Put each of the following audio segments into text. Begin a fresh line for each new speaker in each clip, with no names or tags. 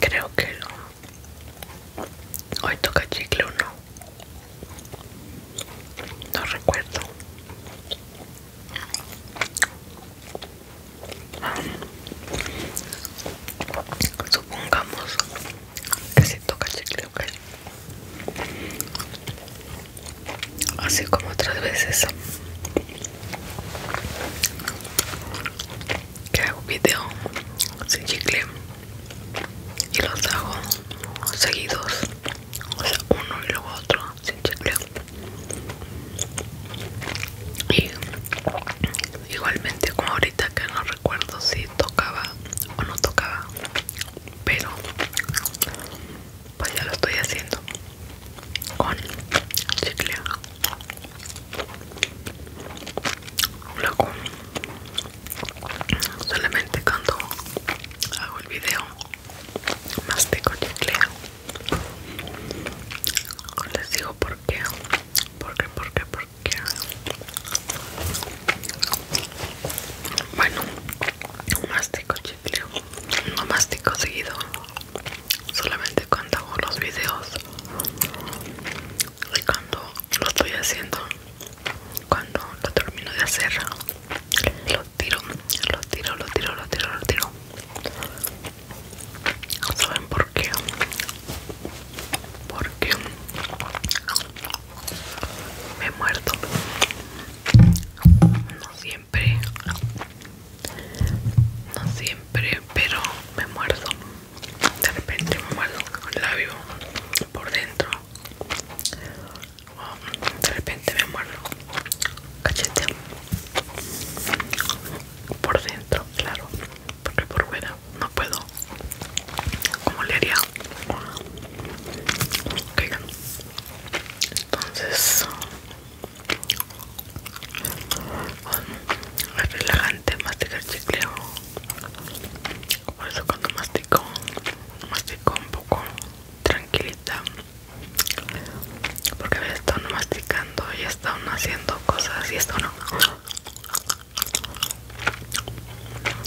Creo que no. Hoy toca chicle o no. No recuerdo. Supongamos que si toca chicle, ok así como otras veces que hago video sin chicle y los hago seguidos o sea uno y luego otro sin chicle y igualmente como ahorita que no recuerdo si tocaba o no tocaba pero pues ya lo estoy haciendo con chicle luego solamente cuando hago el video mastico chicle les digo por qué por por qué, qué, por qué bueno mastico chicle no mastico seguido solamente cuando hago los videos y cuando lo estoy haciendo cuando lo termino de hacer lo tiro lo tiro lo tiro lo tiro lo tiro saben por qué porque me he muerto siempre no siempre pero me muerdo de repente me muerdo con el labio por dentro de repente me muerdo cachete por dentro claro porque por fuera no puedo como le haría okay. entonces es relajante masticar chicle. Por eso cuando mastico, mastico un poco tranquilita. Porque había estado masticando y están haciendo cosas y esto no.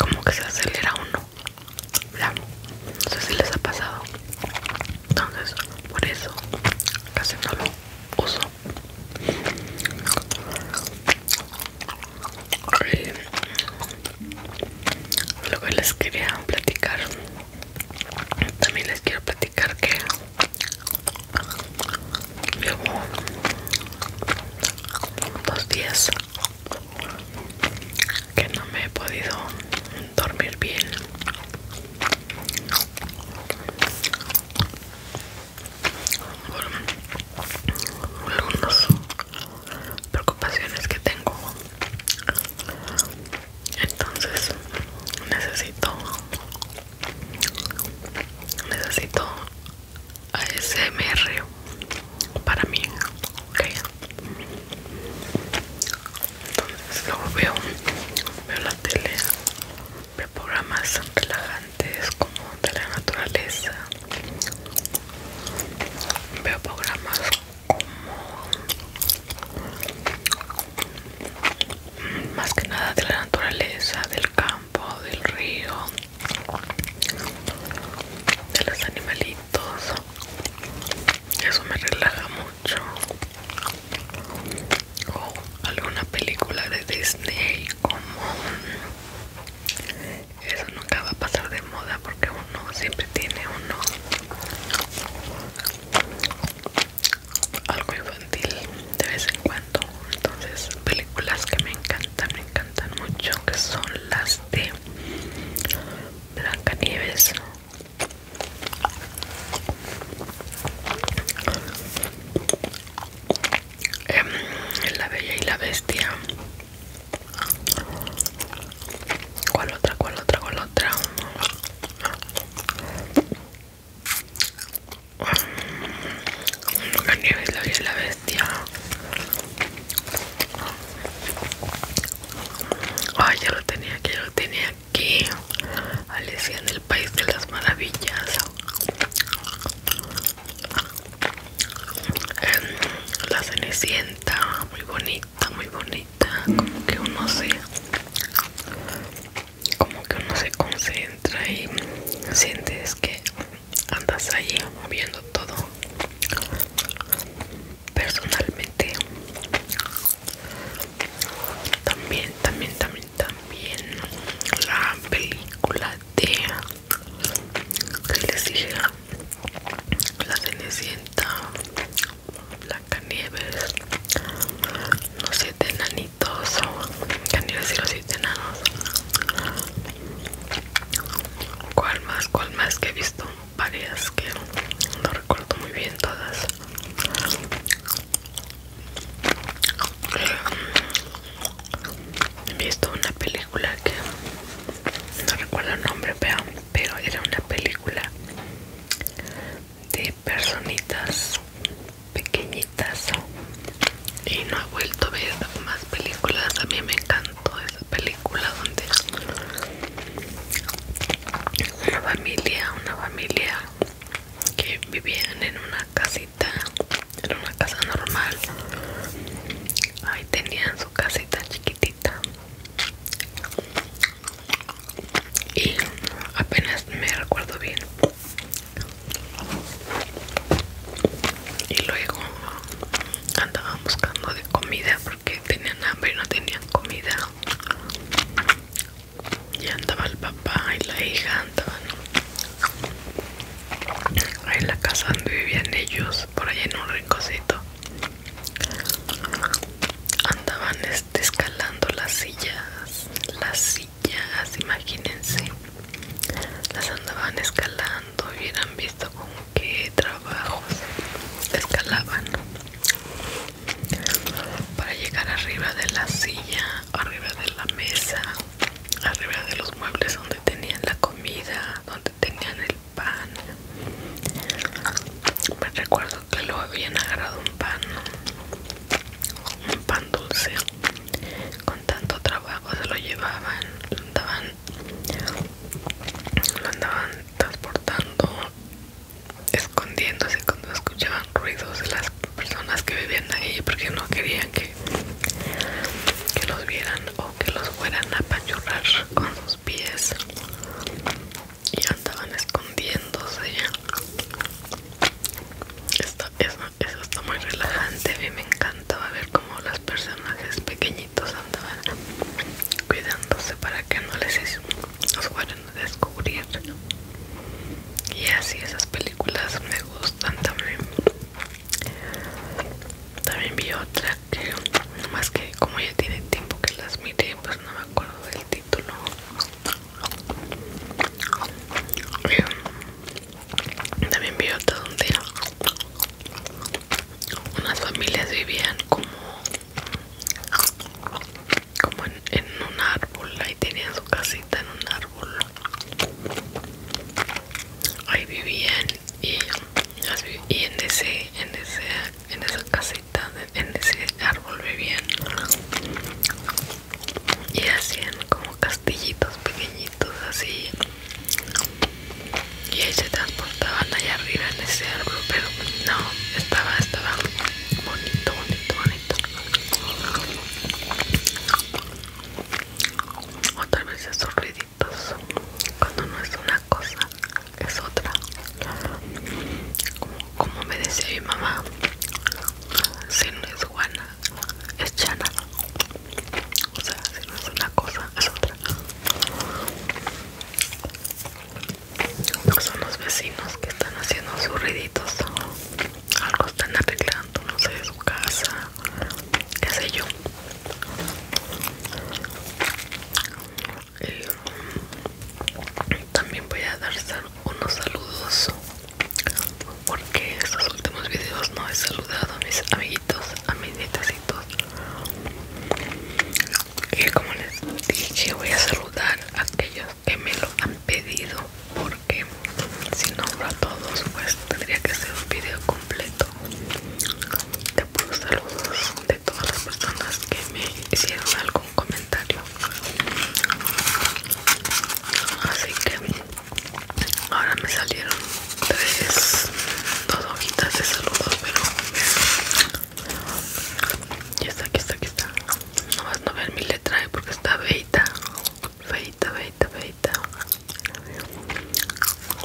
Como que se acelera uno. Ya. No sé si les ha pasado. Entonces, por eso casi no lo uso luego les quería platicar también les quiero platicar que llevo dos días que no me he podido dormir bien algunas preocupaciones que tengo entonces necesito necesito ASMR para mí entonces luego veo, veo la tele veo programas relajantes como de la naturaleza veo programas como más que nada de la naturaleza del campo del río de los animalitos eso me relaja mucho o alguna película de Disney como eso nunca va a pasar de moda porque uno siempre tiene uno algo infantil de vez en cuando entonces películas que me encantan me encantan mucho que son las de Blancanieves Em, la Bella y la Bestia. ¿Cuál otra? ¿Cuál otra? ¿Cuál otra? La em, nieve la Bella y la Bestia. Ay, ya lo tenía, que ya lo tenía que Alicia en el País de las Maravillas, en la Cenicienta, muy bonita, muy bonita, como que uno se, como que uno se concentra y sientes que andas ahí moviendo todo personalmente también también también también la película de que les dije la cenicienta Blancanieves los siete enanitos nieves y los siete enanos cuál más cuál más que he visto varias que no recuerdo muy bien todas He visto una película que no recuerdo el nombre, pero, era una película de personitas pequeñitas y no he vuelto a ver más películas. A mí me encantó esa película donde una familia, una familia que vivían en una casita, era una casa normal. Ahí tenían su casita chiquitita. Y apenas me recuerdo bien. Y luego andaban buscando de comida porque tenían hambre y no tenían comida y andaba el papá y la hija andaban en la casa donde vivían ellos por ahí en un rinconcito andaban este, escalando las sillas las sillas imagínense las andaban escalando y hubieran visto con qué trabajos escalaban para llegar arriba de la silla arriba de la mesa, arriba de los muebles donde tenían la comida, donde tenían el pan. Me recuerdo que lo habían agarrado un pan, un pan dulce. Con tanto trabajo se lo llevaban, lo andaban, transportando, escondiéndose cuando escuchaban ruidos de las personas que vivían ahí porque no querían que, que los vieran o que los fueran a pachurrar con sus pies y andaban escondiéndose. eso, está muy relajante, a mí me encantaba ver cómo los personajes pequeñitos andaban cuidándose para que no les fueran descubrir y así esas películas me gustan también también vi otra que más que como ya tiene tiempo que las mire pues no me acuerdo del título em, también vi otra donde unas familias vivían como como en, un árbol, ahí tenían su casita en un árbol. Ahí vivían y, y en ese, en esa casita, en ese árbol vivían y hacían como castillitos pequeñitos así y ahí se transportaban allá arriba en ese árbol pero no estaba estaba bonito bonito bonito o tal vez esos ruiditos cuando no es una cosa es otra como, como me decía mi mamá si no es guana es chana o sea si no es una cosa es otra son los vecinos que están haciendo sus ruiditos algo están arreglando, no sé, su casa, qué sé yo. Eh, también voy a dar unos saludos porque estos últimos videos no he saludado a mis amiguitos, a mis nietecitos. Y como les dije, voy a saludar a aquellos que me lo han pedido por que si nombro a todos pues tendría que ser un video completo de puros saludos de todas las personas que me hicieron algún comentario así que ahora me salieron tres dos hojitas de saludos pero ya está aquí está aquí está no vas a ver mi letra eh, porque está beita feita, feita, feita.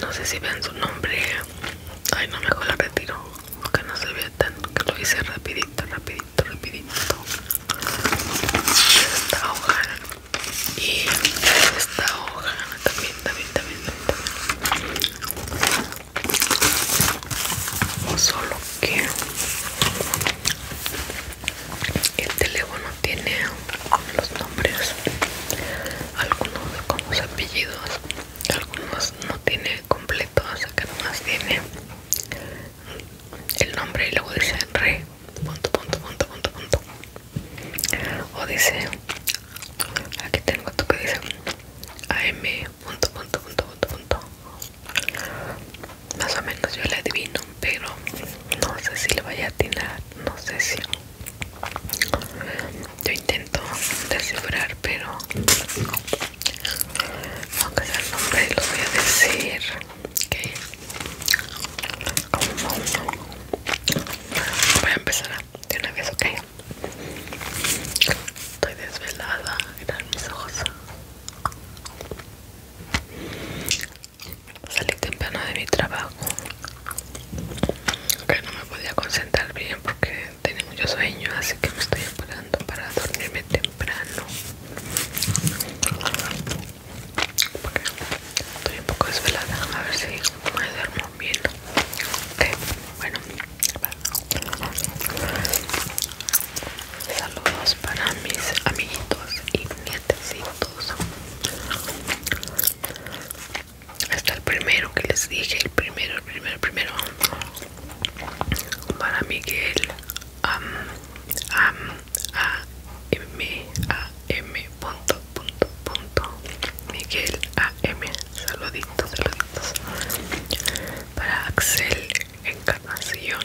No sé si vean su nombre. Ay, no, mejor la retiro. porque no se vea tan. Que lo hice rapidito, rapidito, rapidito. Esta hoja. Y esta hoja. También, también, también, también. también. Solo que el teléfono tiene los nombres algunos con los apellidos algunos no tiene completo o sea que nomás tiene el nombre y luego dice re punto punto punto punto punto o dice aquí tengo esto que dice am punto punto punto punto punto más o menos yo le adivino pero no sé si le vaya a atinar no sé si yo intento descifrar pero aunque sea el nombre lo voy a decir okay voy a empezar de una vez ok estoy desvelada mis ojos salí temprano de mi trabajo no me podía concentrar bien porque tenía mucho sueño así que me estoy preparando para dormirme temprano estoy un poco desvelada a ver si me duermo bien bueno saludos para mis amiguitos y nietecitos hasta el primero que les dije el primero el primero el primero para Miguel am am a m a m punto punto punto Miguel a m saluditos saluditos para Axel Encarnación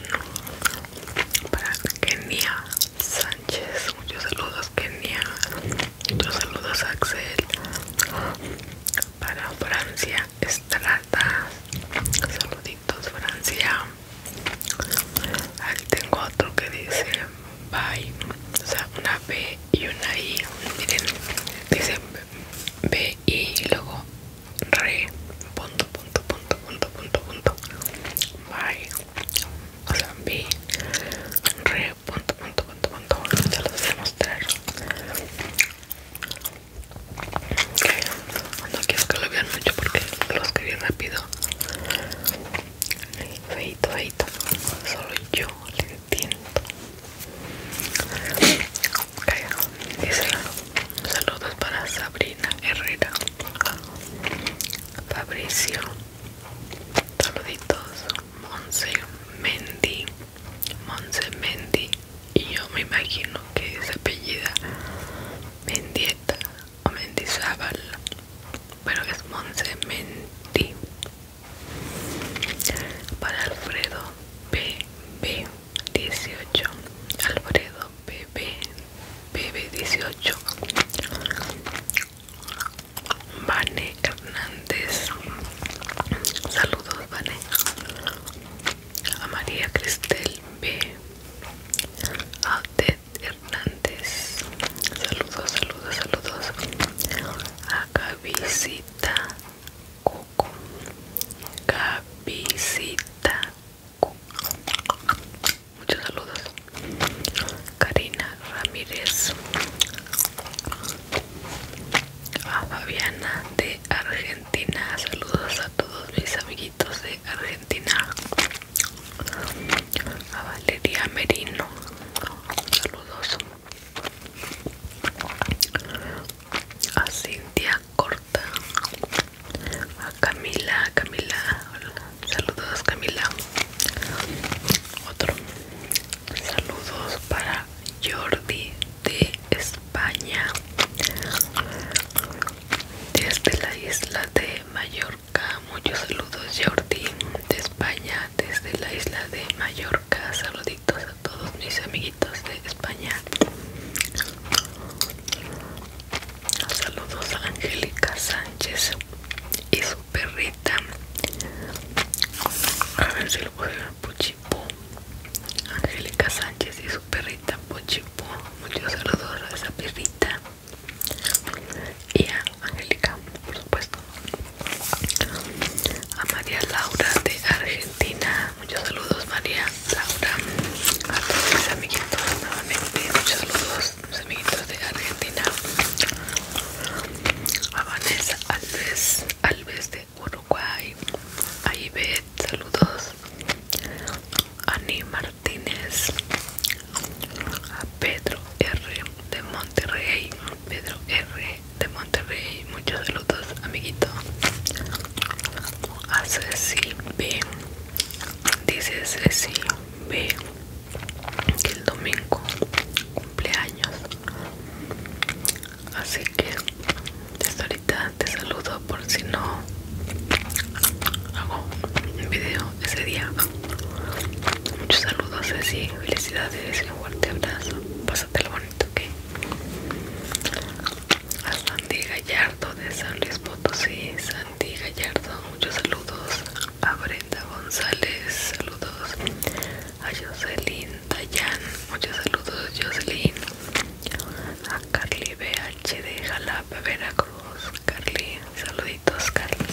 para Kenia Sánchez, muchos saludos Kenia, muchos saludos Axel, para Francia Estrada, saluditos Francia, aquí tengo otro que dice bye, o sea una B y una I, miren, dice B y luego re punto punto punto punto punto punto bye o sea re punto punto punto punto se los voy a mostrar no quiero que lo vean mucho porque lo escribí rápido feito feito solo yo le entiendo okay. dice saludos para Sabrina Herrera Fabricio Saluditos Monse Mendy Monse Mendy Y yo me imagino que es apellida Mendieta o Mendizábal Pero es Monse Mendy Para Alfredo B. B. 18 Alfredo bebé bebé 18 Vane Hernández saludos Vane a María Cristel B a Ted Hernández saludos saludos saludos a Gavisita Coco Gavisita Muchos saludos. Karina Ramírez. A Fabiana de Argentina. Saludos a todos mis amiguitos de Argentina. A Valeria Merino. Saludos. A Cintia Corta. A Camila, Camila, Saludos Camila. Otro. Saludos para Jordi de España. Desde la isla de Mallorca. Muchos saludos Jordi de España. Desde la isla de Mallorca. Saluditos a todos mis amiguitos de España. Saludos a Angélica Sánchez y su perrita. A ver si lo puedo ver, Pochipo. Angélica Sánchez y su perrita Pochipo. Muchos saludos a esa perrita. Y a Angélica, por supuesto. A María Laura de Argentina. Muchos saludos, María Laura. A todos mis amiguitos nuevamente. Muchos saludos amiguitos, de Argentina a Vanessa Alves, Alves de Uruguay a saludos Ani Martínez a Pedro R de Monterrey Pedro R de Monterrey muchos saludos amiguito a Ceci B dice Ceci B que el domingo cumpleaños así que hasta ahorita te saludo por si no hago un video ese día muchos saludos así felicidades y un fuerte abrazo pásatelo bonito que a Sandy Gallardo de San Luis Potosí Sandy Gallardo muchos saludos a Brenda González, saludos a Jocelyn Dayan, muchos saludos Jocelyn, a Carly BH de Jalapa, Veracruz, Carly, saluditos Carly,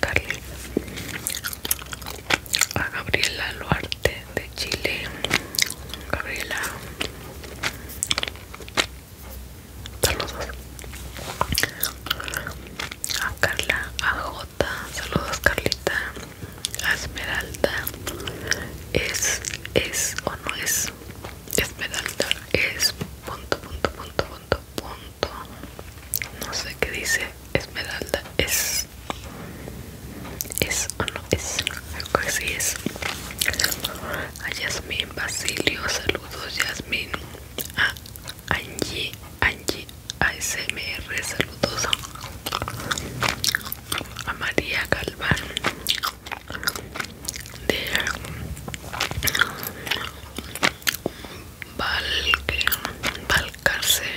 Carly, a Gabriela Luarte de Chile, Gabriela saludos a Carla, a Jota, saludos Carlita, a Esmeralda, es, es o no es, Esmeralda, es punto, punto, punto, punto, punto, no sé qué dice, Esmeralda, es, es o no es, creo que sí es, a Yasmín, Basilio, saludos Yasmín, a Angie, Angie ASMR, saludos a María Calvar de Valcarce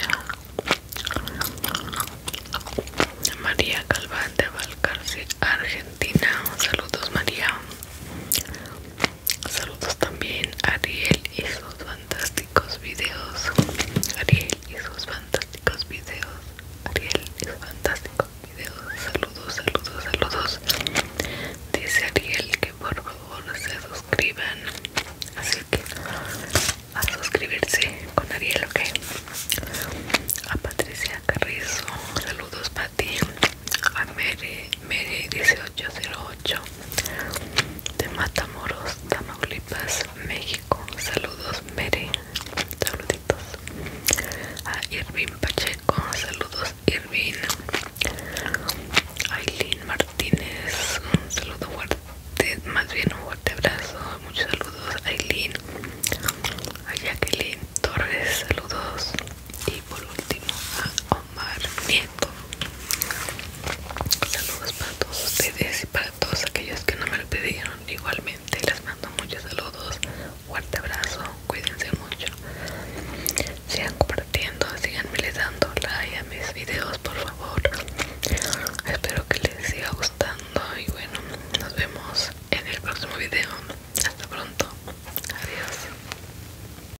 María Calvar de Valcarce Argentina, saludos María Saludos también a Ariel y sus fantásticos videos. Ariel y sus fantásticos videos. Ariel y sus fantásticos videos. Saludos, saludos, saludos. Dice Ariel que por favor se suscriban. Así que a suscribirse con Ariel, ok. A Patricia Carrizo. Saludos, Pati a Mere, Mere 1808 de Matamoros, Tamaulipas, México. Saludos Mere, saluditos. A Irvin Pacheco, saludos Irvin. Aileen Martínez, un saludo fuerte, más bien un fuerte abrazo. Muchos saludos Aileen. A Jacqueline Torres, saludos por último a Omar Nieto. Saludos para todos ustedes y para todos aquellos que no me lo pidieron. Igualmente les mando muchos saludos, fuerte abrazo, cuídense mucho. Sigan compartiendo, síganme le dando like a mis videos por favor. Espero que les siga gustando y bueno, nos vemos en el próximo video. Hasta pronto. Adiós.